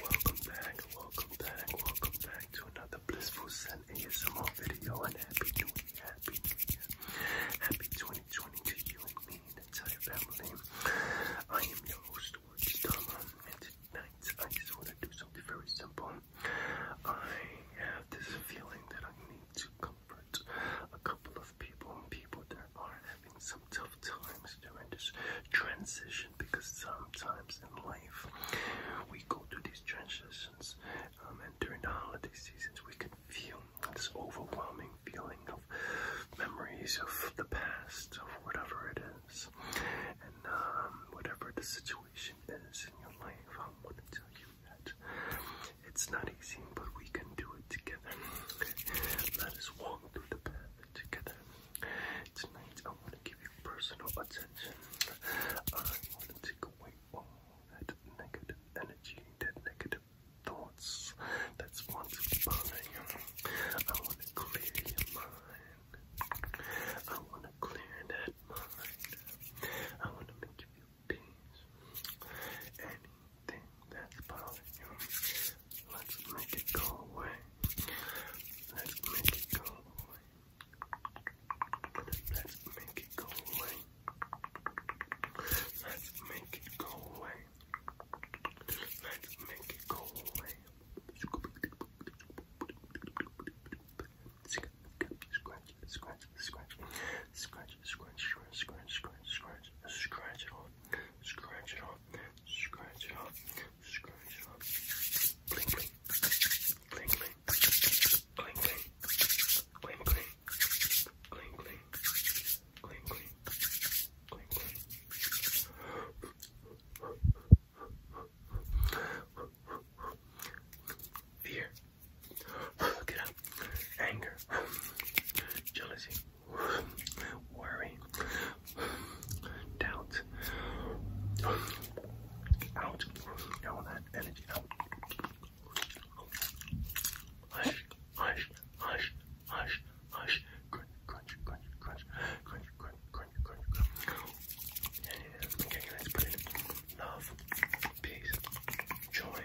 Welcome back, welcome back, welcome back to another Blissful Sun ASMR video and happy new year, happy new year, happy 2020 to you and me and entire family. I am your host, Watch Dama, and tonight I just want to do something very simple. I have this feeling that I need to comfort a couple of people, and people that are having some tough times during this transition because sometimes in life we go through these transitions um, and during the holiday seasons we can feel this overwhelming feeling of memories of the past, of whatever it is. And um, whatever the situation is in your life, I want to tell you that it's not easy, but we can do it together. Let us walk through the path together. Tonight I want to give you personal attention. I want to take away all that negative energy, that negative thoughts that's once you. I want to clear your mind. I want to clear that mind. I want to make you peace. Anything that's bothering you. Let's make it go away. Let's make it go away. Let's make it go away. Let's make it go away. Let's make it go away. Scratch, scratch, scratch, scratch, scratch, scratch, scratch, scratch, scratch, scratch it on, scratch it on, scratch it up, fear, get up, anger, jealousy worry, doubt, out, all that energy Hush, hush, hush, hush, hush, crunch, crunch, crunch, crunch, crunch, crunch, crunch, crunch, crunch. And okay, let's put in love, peace, joy,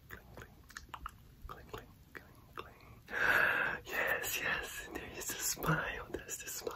Yes, yes, there is a smile. There's the smile.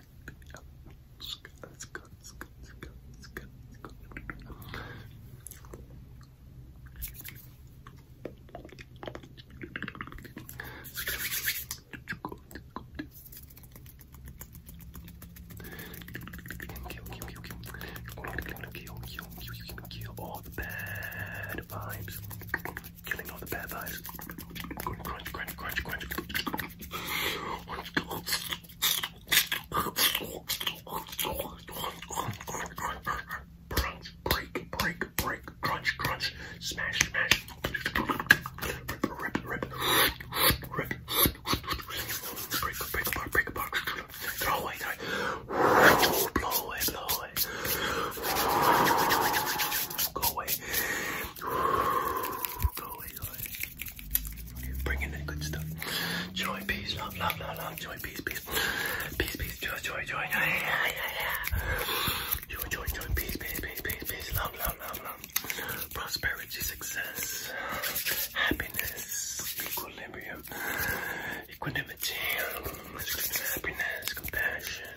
Let's go, let's go, let's go, let's go, let's go. Kill all the bad vibes. Killing all the bad vibes. Crunch, crunch, crunch, crunch. Crunch, break, break, break, crunch, crunch, smash, smash, rip, rip, rip, rip, break, break apart, break apart, throw away, throw blow away, blow away, go away, go away, go away. You're bringing the good stuff. Joy, peace, love, love, love, love. Joy, peace, peace. Peace, peace, joy, joy, joy. Yeah, yeah, yeah. Joy, joy, joy, peace, peace, peace, peace, peace. Love, love, love, love. Prosperity, success, happiness, equilibrium, equanimity, happiness, compassion,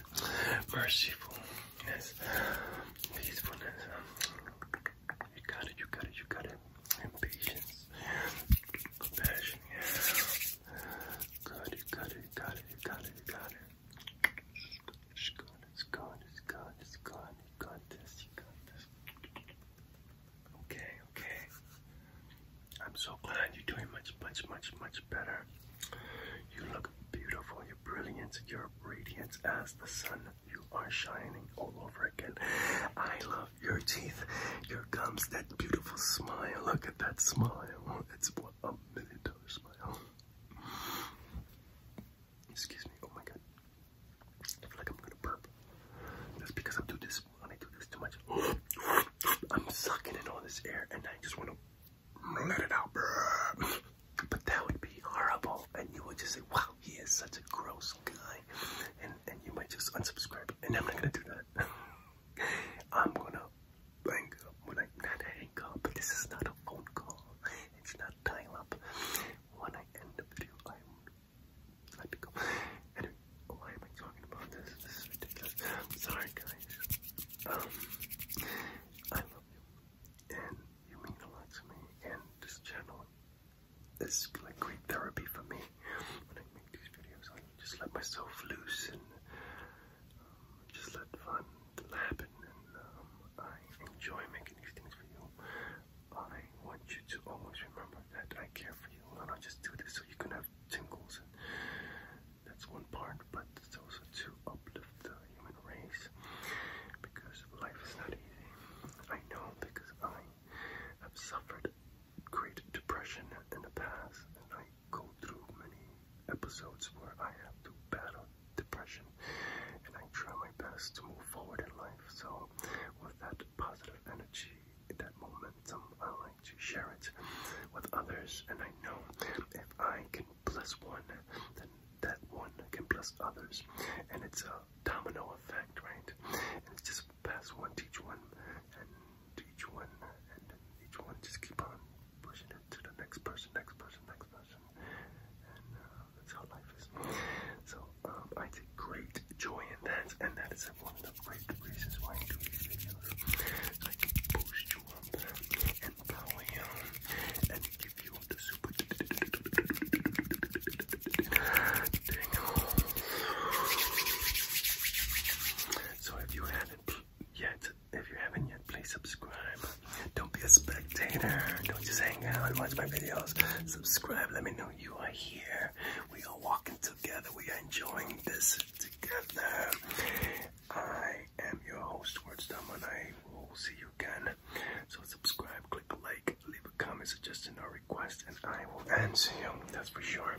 mercifulness peacefulness. You got it, you got it, you got it. patience. Compassion, yeah. Good, you got it, you got it, you got it, you got it. It's good, it's good, it's good, it's good. You got this, you got this. Okay, okay. I'm so glad you're doing much, much, much, much better. You look beautiful brilliant, you're radiant as the sun. You are shining all over again. I love your teeth, your gums, that beautiful smile. Look at that smile. It's what a million dollar smile. Excuse me, oh my god. I feel like I'm gonna burp. That's because I do this when I do this too much. I'm sucking in all this air and I just wanna let it out, bruh. But that would be horrible, and you would just say, "Wow, he is such a gross guy," and and you might just unsubscribe. And I'm not gonna do that. I'm gonna hang up when I not hang up. But this is not a phone call. It's not dial up. When I end the video, I'm let me go. Anyway, why am I talking about this? This is ridiculous. sorry, guys. Um, I love you and you mean a lot to me, and this channel is like great therapy for me when I make these videos. I just let myself loose and um, just let fun happen, and um, I enjoy making these things for you. I want you to always remember that I care for you, and I just do this so you can have tingles, that's one part but it's also to uplift the human race because life is not easy. I know because I have suffered great depression in the past, and I go through many episodes where I have to battle depression, and I try my best to move forward in life. So, with that positive energy, that momentum, I like to share it with others, and I know if I can plus one, then that one can plus others, and it's a domino effect, right? And it's just pass one, teach one, and teach one, and each one just keep on pushing it to the next person, next person, next person, and uh, that's how life is. So um, I take great joy in that, and that is one of the great reasons why I do these videos. I can boost you up so if you haven't yet, if you haven't yet, please subscribe. Don't be a spectator. Don't just hang out and watch my videos. Subscribe. Let me know you are here. We are walking together. We are enjoying this together. I am your host, Wordstar, and I will see you again. So subscribe, click like, leave a comment, suggestion, or request, and I will answer you. That's for sure.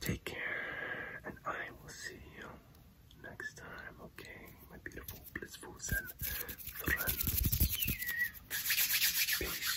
Take care, and I will see you next time. Okay, my beautiful, blissful, and friends. Peace.